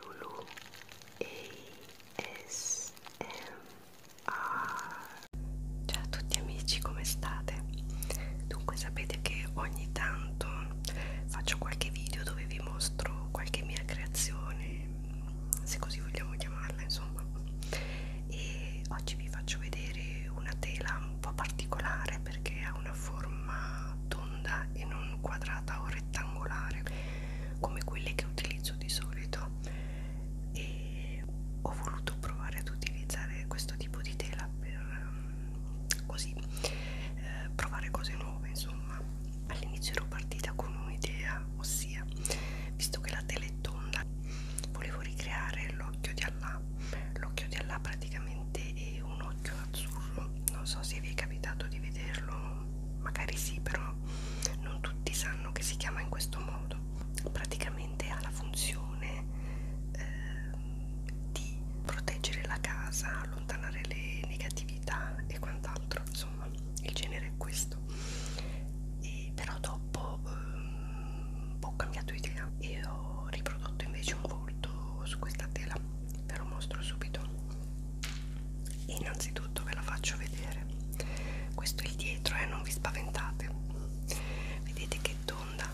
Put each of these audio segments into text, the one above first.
Lulu ASMR Ciao a tutti amici, come state? Dunque sapete che ogni tanto faccio qualche video dove vi mostro qualche mia creazione, se così vogliamo chiamarla insomma, e oggi vi faccio vedere una tela un po' particolare perché ha una forma tonda e non quadrata o rettangolare come quelle che utilizzo di solito e ho voluto provare ad utilizzare questo tipo di tela per mm, così eh, provare cose nuove insomma all'inizio ero partita con un'idea ossia visto che la tela è tonda volevo ricreare l'occhio di Allah l'occhio di Allah praticamente è un occhio azzurro non so se vi è capitato di vederlo magari sì però non tutti sanno che si chiama in questo modo praticamente ha la funzione eh, di proteggere la casa allontanare le negatività e quant'altro insomma il genere è questo e però dopo ehm, ho cambiato idea e ho riprodotto invece un volto su questa tela ve lo mostro subito innanzitutto ve la faccio vedere questo è il dietro e eh, non vi spaventate vedete che tonda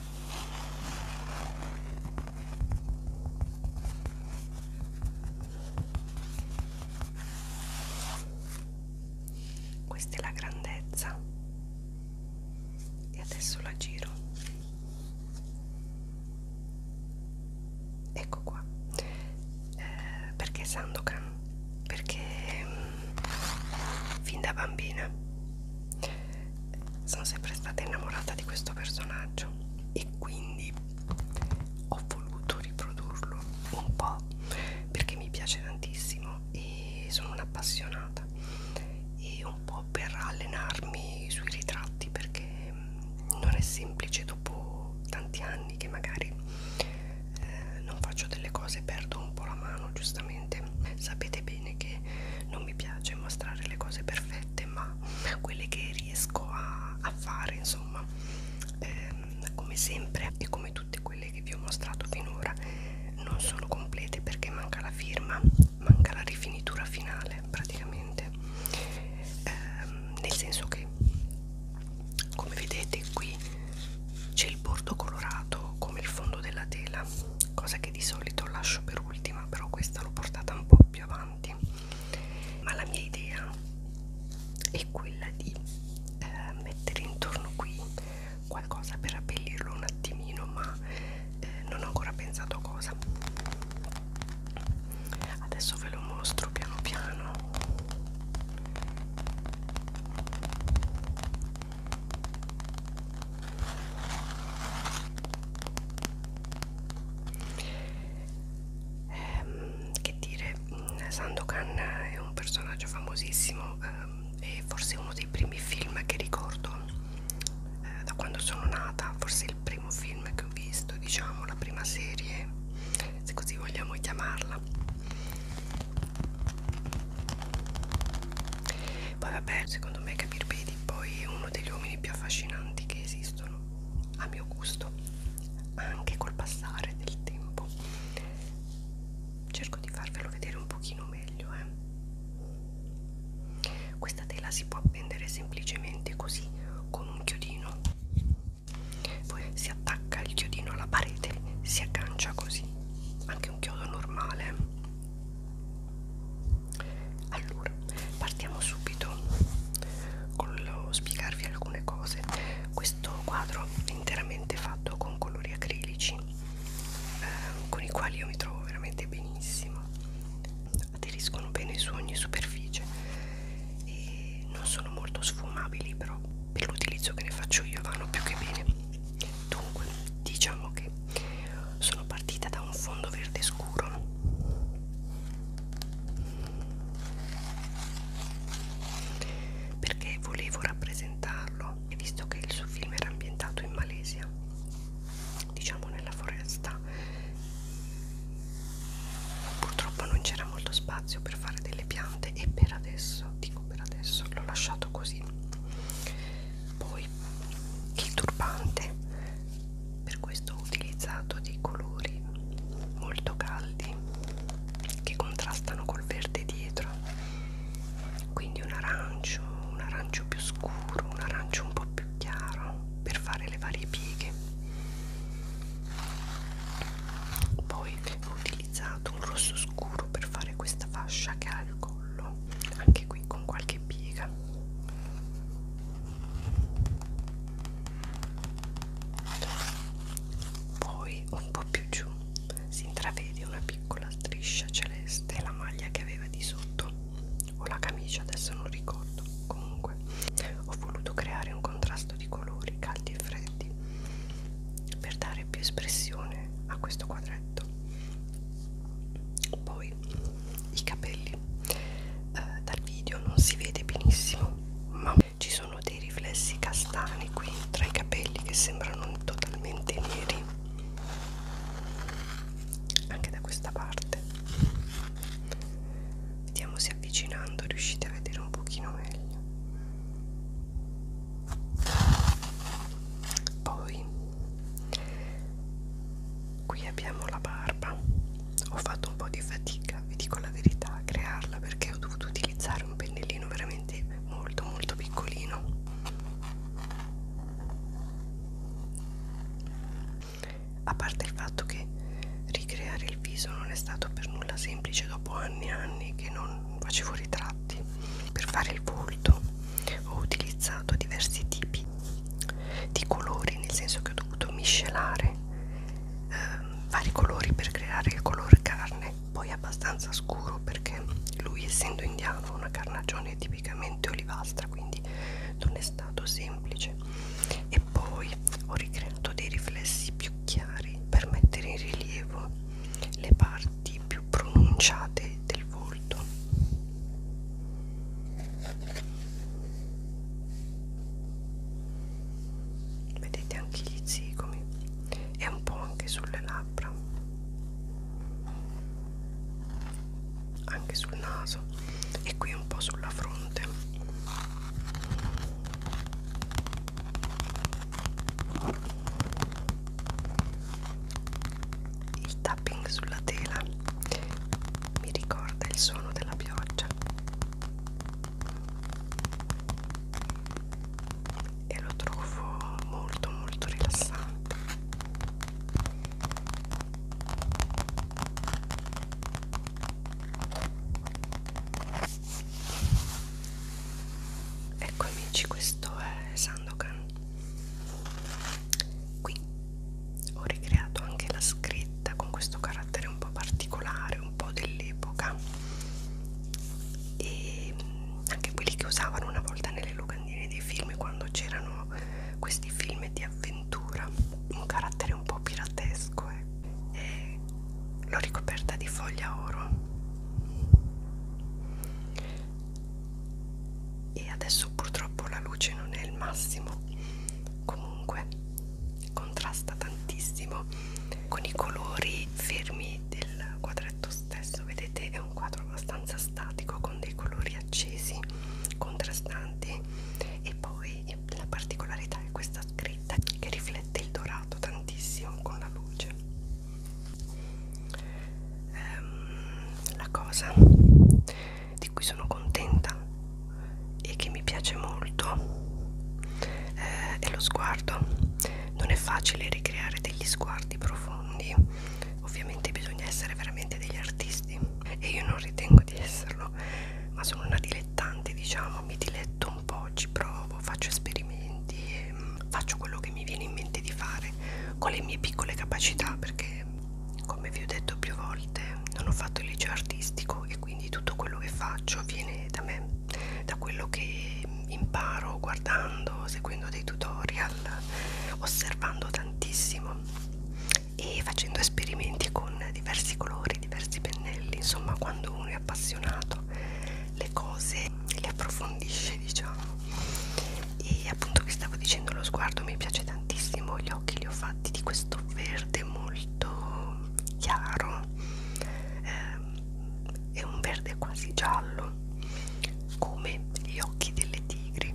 questa è la grandezza e adesso la giro ecco qua eh, perché Sandokan perché mh, mm, fin da bambina sono sempre stata innamorata di questo personaggio e quindi ho voluto riprodurlo un po' perché mi piace tantissimo e sono un'appassionata e un po' per allenarmi sui ritratti perché mm, non è semplice dopo tanti anni che magari eh, non faccio delle cose e perdo un po' la mano giustamente sapete bene che non mi piace mostrare le cose perfette ma quelle che riesco a, a fare insomma eh, come sempre e come tutte quelle che vi ho mostrato finora non sono complete perché manca la firma manca la rifinitura finale praticamente eh, nel senso che come vedete qui c'è il bordo colorato come il fondo della tela cosa che di solito lascio per ultima però questa l'ho portata un po' più avanti ma la mia idea è quella di eh, mettere intorno qui qualcosa per abbellirlo un attimino ma eh, non ho ancora pensato cosa adesso ve lo mostro piano piano ehm, che dire mm, Sandokan è un personaggio famosissimo ehm, e forse uno dei primi film che ricordo eh, da quando sono nata, forse il primo film che ho visto, diciamo, la prima serie, se così vogliamo chiamarla. Poi vabbè, secondo me Capir Bedi poi è uno degli uomini più affascinanti che esistono, a mio gusto, anche col passare del tempo. Cerco di farvelo vedere un pochino meglio, eh. Questa tela si può appendere semplicemente così con un chiodino. Poi si attacca il chiodino alla parete, si aggancia così, anche un chiodo normale. Allora, partiamo subito con lo spiegarvi alcune cose. Questo quadro è interamente fatto con colori acrilici eh, con i quali io mi trovo veramente benissimo aderiscono bene su ogni superficie e non sono molto sfumabili però per l'utilizzo che ne faccio io vanno più che bene dunque diciamo che sono partita da un fondo verde scuro perché volevo rappresentarlo e visto che il suo film era ambientato in Malesia diciamo nella foresta purtroppo non c'era molto spazio per fare delle piante e per adesso dico per adesso l'ho lasciato così poi il turbante per questo ho utilizzato dei colori molto caldi che contrastano col verde dietro quindi un arancio, un arancio più scuro, un arancio un po' più chiaro per fare le varie pieghe. Poi ho utilizzato un rosso scuro per fare questa fascia che ha il collo, anche qui con qualche piega. Poi un po' più giù si intravede una piccola striscia celeste la maglia che aveva di sotto o la camicia adesso non ricordo comunque ho voluto creare un contrasto di colori caldi e freddi per dare più espressione a questo quadretto poi i capelli eh, dal video non si vede benissimo ma ci sono dei riflessi castani qui tra i capelli che sembrano totalmente neri anche da questa parte vediamo se avvicinando riuscite a vedere un pochino meglio poi qui abbiamo la barba ho fatto un po' di fatica vi dico la verità a crearla perché ho dovuto utilizzare un pennellino veramente molto molto piccolino a parte il fatto che ricreare il viso non è stato per nulla semplice dopo anni e anni che non facevo ritratti, per fare il volto ho utilizzato diversi tipi di colori, nel senso che ho dovuto miscelare eh, vari colori per creare il colore carne, poi abbastanza scuro perché lui essendo indiano ha una carnagione tonale tipicamente olivastra quindi non è stato semplice e poi ho ricreato dei riflessi più chiari per mettere in rilievo le parti più pronunciate del volto vedete anche gli zigomi e un po' anche sulle labbra anche sul naso e qui un po' sulla fronte il tapping sulla tela mi ricorda il suono della pioggia e lo trovo molto molto rilassante ecco amici questo è Sandokan qui ho ricreato anche la scritta con questo carattere un po' particolare un po' dell'epoca e mm, anche quelli che usavano una volta nelle locandine dei film quando c'erano questi film di avventura un carattere un po' piratesco eh. e l'ho ricoperta di foglia oro e adesso purtroppo la luce non è il massimo comunque contrasta tantissimo con i colori fermi del quadretto stesso questo vedete è un quadro abbastanza statico con dei colori accesi contrastanti e poi la particolarità è questa scritta che riflette il dorato tantissimo con la luce ehm, la cosa di cui sono contenta e che mi piace molto eh, è lo sguardo non è facile ricreare degli sguardi profondi ovviamente bisogna essere veramente degli artisti e io non ritengo di esserlo ma sono una dilettante diciamo mi diletto un po' ci provo faccio esperimenti e mm, faccio quello che mi viene in mente di fare con le mie piccole capacità perché come vi ho detto più volte non ho fatto il liceo artistico e quindi tutto quello che faccio viene da me da quello che imparo guardando, seguendo dei tutorial, osservando tantissimo e facendo esperimenti con diversi colori, diversi pennelli, insomma quando uno è appassionato le cose le approfondisce diciamo e appunto vi stavo dicendo lo sguardo mi piace tantissimo, gli occhi li ho fatti di questo verde molto chiaro eh, è un verde quasi giallo come gli occhi delle tigri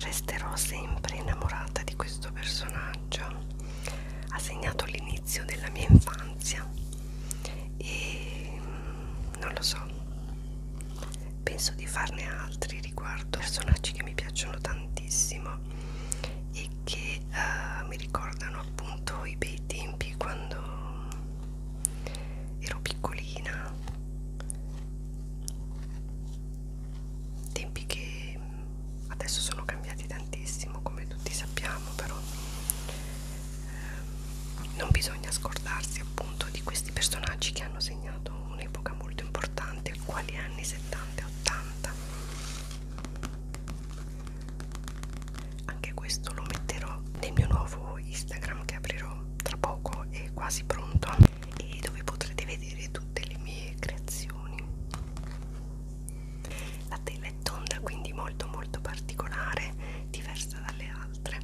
resterò sempre innamorata di questo personaggio ha segnato l'inizio della mia infanzia e non lo so penso di farne altri riguardo personaggi che mi piacciono tantissimo e che uh, mi ricordano appunto i bei tempi quando ero piccolina tempi che adesso sono cambiati tantissimo come tutti sappiamo però eh, non bisogna scordarsi appunto di questi personaggi che hanno segnato un'epoca molto importante, quali anni 70 e 80. Anche questo lo metterò nel mio nuovo Instagram che aprirò tra poco e quasi pronto e dove potrete vedere tutte le mie creazioni. La tela è tonda, quindi molto molto particolare, diversa dalle altre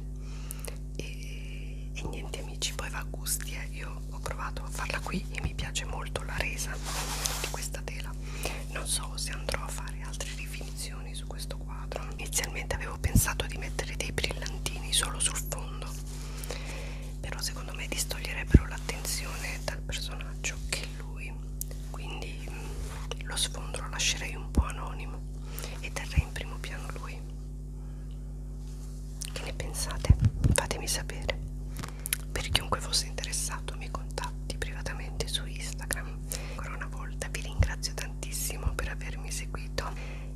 e, e niente amici poi va a gusti eh. io ho provato a farla qui e mi piace molto la resa di questa tela non so se andrò a fare altre rifinizioni su questo quadro inizialmente avevo pensato di mettere dei brillantini solo sul fondo però secondo me distoglierebbero l'attenzione dal personaggio che lui quindi mm, lo sfondo lo lascerei un po' anonimo e terrei in primo piano lui che ne pensate? Fatemi sapere. Per chiunque fosse interessato mi contatti privatamente su Instagram. Ancora una volta vi ringrazio tantissimo per avermi seguito.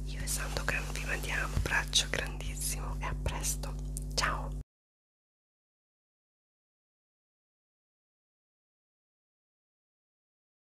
Io e Sandokan vi mandiamo un abbraccio grandissimo e a presto. Ciao!